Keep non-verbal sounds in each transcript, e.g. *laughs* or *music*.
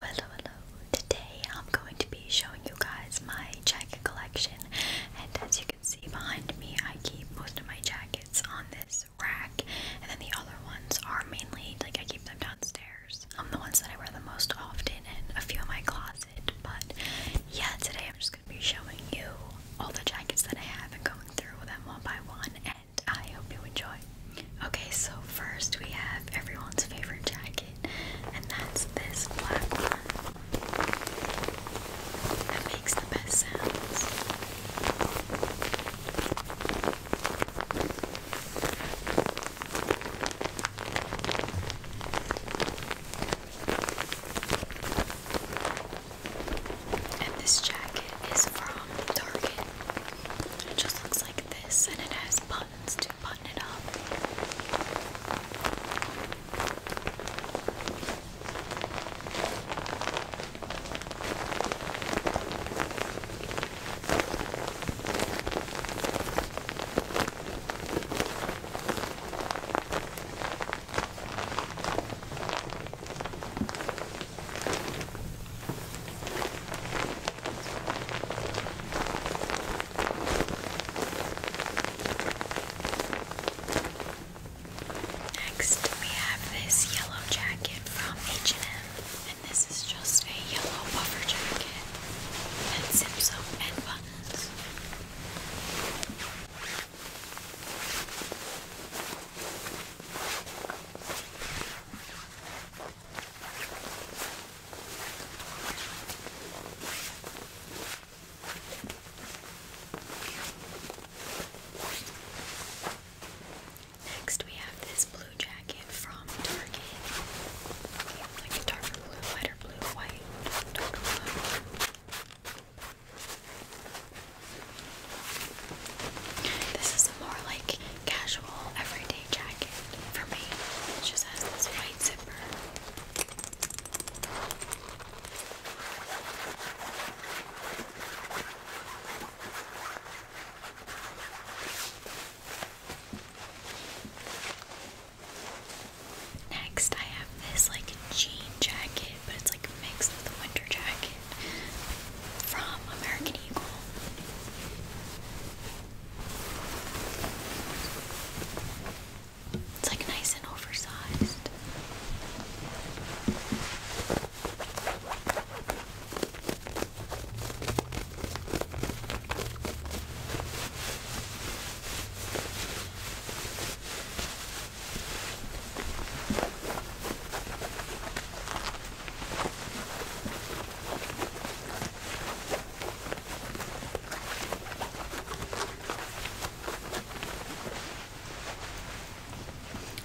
Hello, hello. Today I'm going to be showing you guys my jacket collection, and as you can see behind me, I keep most of my jackets on this rack, and then the other ones are mainly like I keep them downstairs. Um, the ones that I wear the most often, and a few of my closet. But yeah, today I'm just gonna be showing you all the jackets that I have and going through them one by one, and I hope you enjoy. Okay, so first we have everyone's favorite jacket, and that's this black one that makes the best sounds. And this jacket is from Target. It just looks like this, and it has. Let's do button it up. Next, we have this yellow jacket from H&M, and this is just a yellow puffer jacket and zips up and buttons. Next, we have this blue jacket from Target. Like a darker blue, lighter blue, white, darker blue. This is a more like casual everyday jacket for me. It just has this white zipper. Next, I have this like jean jacket, but it's like mixed with a winter jacket from American Eagle. It's like nice and oversized.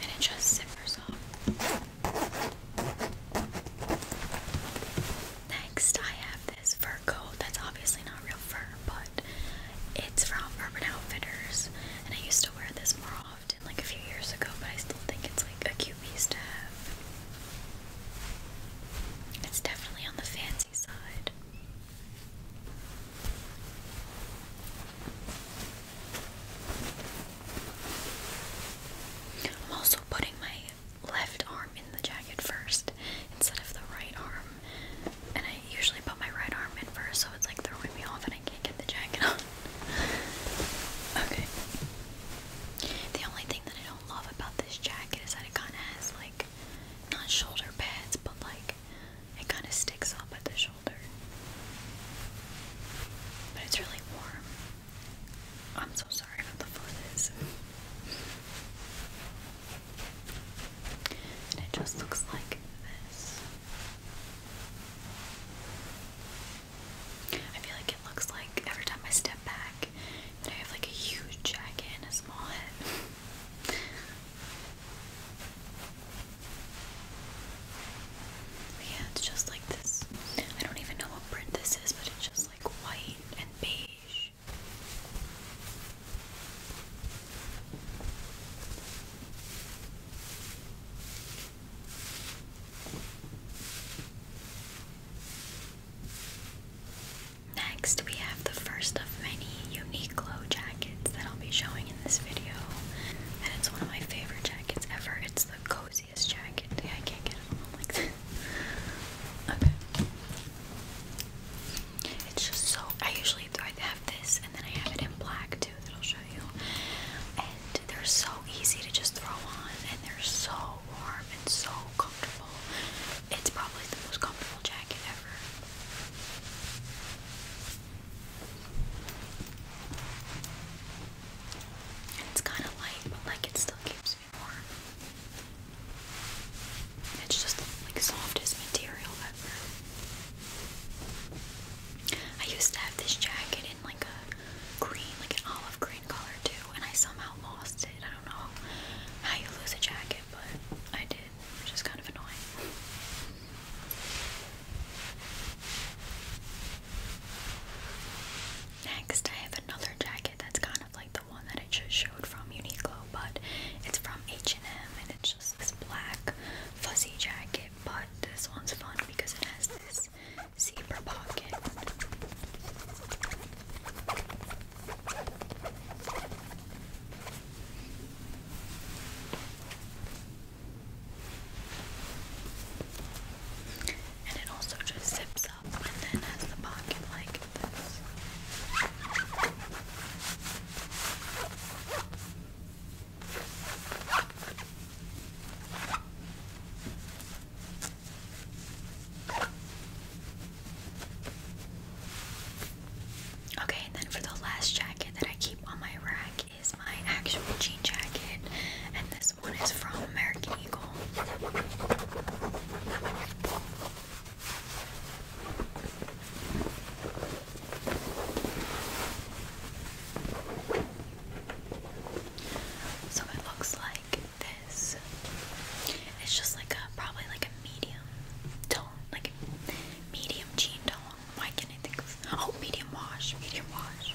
And it just zippers off. Next, I have this fur coat that's obviously not real fur, but it's from Urban Outfitters, and I used to wear this more often often, like a few years ago, but I still think it's like a cute piece to have. It's definitely on the fancy side. I'm also putting my left arm in the jacket first instead of the right arm. And I usually put my right arm in first, so it's like throwing me off, and I can't get the jacket on. *laughs* okay. The only thing that I don't love about this jacket is that it kind of has like not shoulder pads, but like it kind of sticks up at the shoulder. But it's really warm. I'm so sorry about the fuzz. And it just looks like this. I feel like it looks like every time I step back that I have like a huge jacket and a small head. yeah, it's just like this. I don't even know what print this is, but it's just like white and beige. Next, we have the first of many Uniqlo jackets that I'll be showing in this video. And it's one of my favorite jackets ever. It's the coziest jacket. I can't get it on like this. *laughs* okay. It's just so. I usually I have this and then I have it in black too that I'll show you. They're so easy to just throw on and they're so warm and so comfortable. It's probably the most comfortable jacket ever. it's kind of light, but like it still keeps me warm. It's just like softest material ever. I used to have this jacket like a green, like an olive green color too, and I somehow lost it. I don't know how you lose a jacket, but I did, which is kind of annoying. Next, I have another jacket that's kind of like the one that I just showed from Uniqlo, but it's from H&M, and it's just this black fuzzy jacket but this one's fun because it has this zipper pocket. And it also just zips up and then has the pocket like this. Okay, and then for the last jacket that I keep on my rack is my actual jean jacket, and this one is from American Eagle. So it looks like this. It's just like a probably like a medium tone, like medium jean tone. Why can't oh medium wash, medium wash.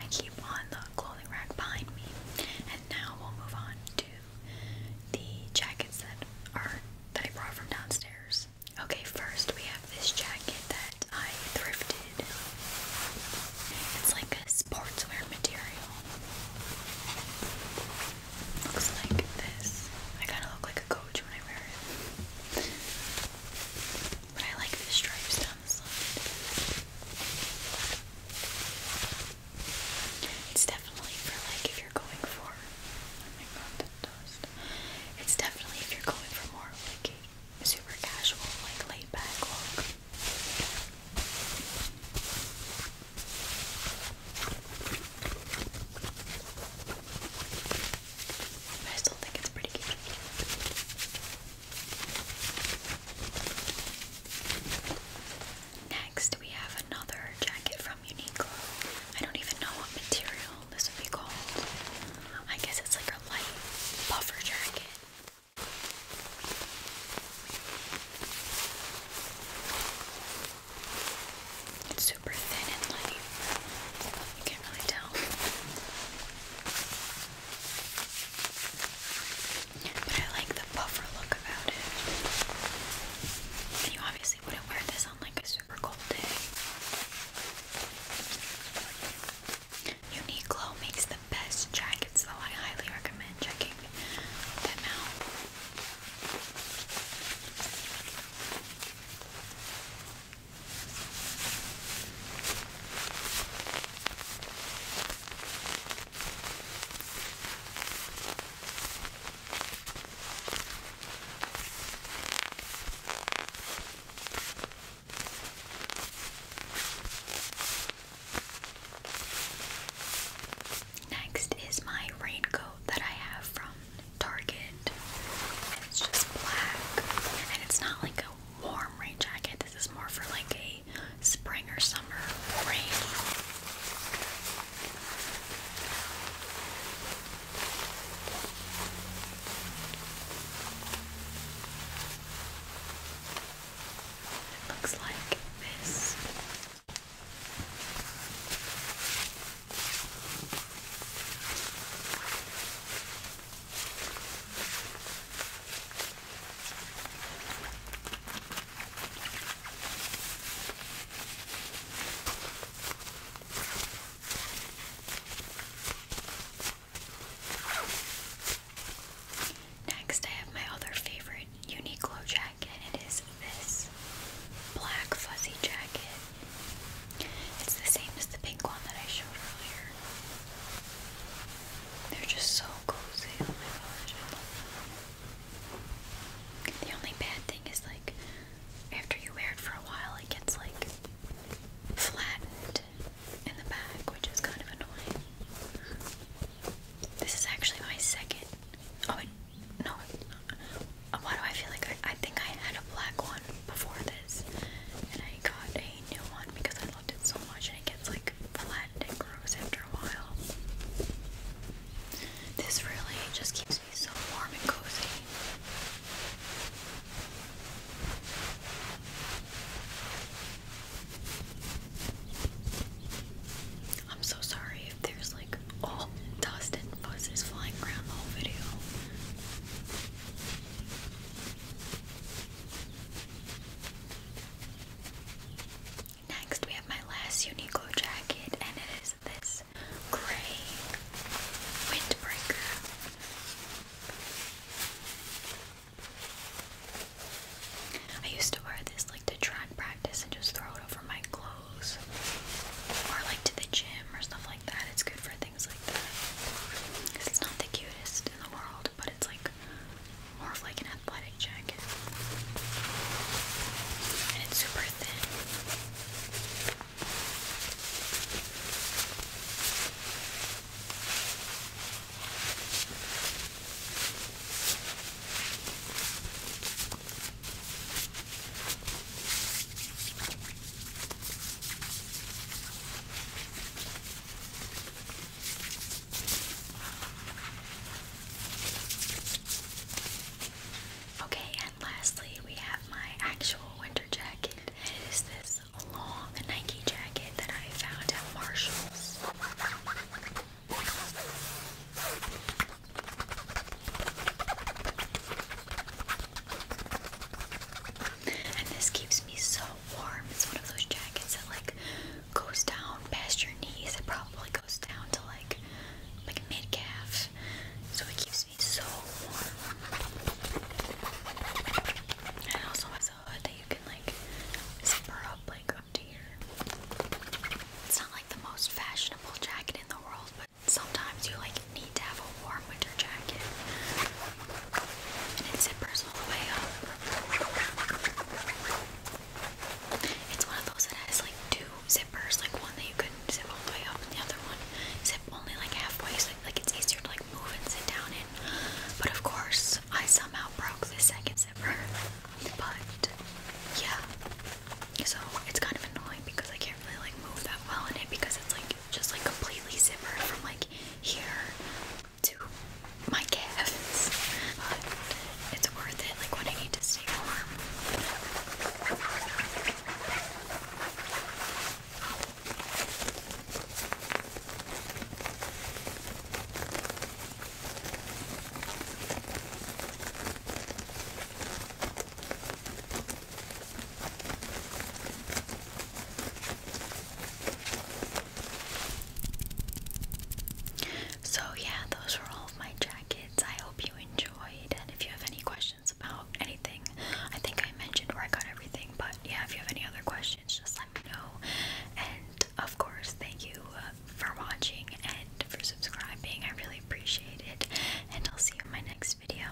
I keep on the clothing rack behind me. And now we'll move on to the jackets that are that I brought from downstairs. Okay, first we have this jacket that I thrifted. It's like a sportswear material. Looks like this. I kind of look like a coach when I wear it. But I like the stripes down the side. It's definitely for like if you're going for oh my It's definitely if you're going for more like super casual, like laid back look. I still think it's pretty cute. Next, we have another jacket from Uniqlo. I don't even know what material this would be called. I guess it's like a light buffer jacket. It's super thin and light. You can't really tell. But I like the buffer look about it. you obviously wouldn't wear this on like a super cold day. Uniqlo makes the best jackets though. I highly recommend checking them out. Next is my raincoat that I have from Target. It's just black and it's not like a warm rain jacket. This is more for like a spring or summer rain. It looks like this. Next, I have my other favorite Uniqlo jacket. It is this black fuzzy jacket. It's the same as the pink one that I showed earlier. They're just so cozy. Oh my gosh, The only bad thing is like after you wear it for a while, it gets like flattened in the back, which is kind of annoying. This is actually my second. Oh no. Uh, why do I feel like I, think I had a black one before this, and I got a new one because just loved it so much and it gets like flattened and gross after a while. This really just keeps me so warm and cozy. I'm so sorry if there's like all dust and buzzes flying around the whole video. Next, we have my last Uniqlo jacket, and it is this gray windbreaker. I used to wear this like to track practice and just throw it over my clothes, or like to the gym or stuff like that. It's good for things things like that. not the cutest in the world, but it's like more of like an athletic jacket. it's super thin. Okay, and lastly, we have my actual winter jacket. It is this long Nike jacket that I found at Marshall's. And this keeps me so warm. It's one of those jackets that like goes down past your knees. It probably goes down to like like mid calf. So it keeps me so warm. And it also has a hood that you can like zipper up like up to here. It's not like the most fashionable jacket in the world, but sometimes you like need to have a warm winter jacket. And it zippers all the way up. It's one of those that has like two zippers, like one that you can zip all the way up and the other one zip only like halfway so like it's easier to like move and sit down in. But of course I somehow broke the second zipper. But yeah. So it's kind of annoying because I can't really like move that well in it because it's like just like completely zipped from like here to my calves, but it's worth it. Like when I need to stay warm. So, yeah, those were all of my jackets. I hope you enjoyed. And if you have any questions about anything, I think I mentioned where I got everything. But yeah, if you have any other questions, just let me know. And of course, thank you uh, for watching and for subscribing. I really appreciate it. And I'll see you in my next video.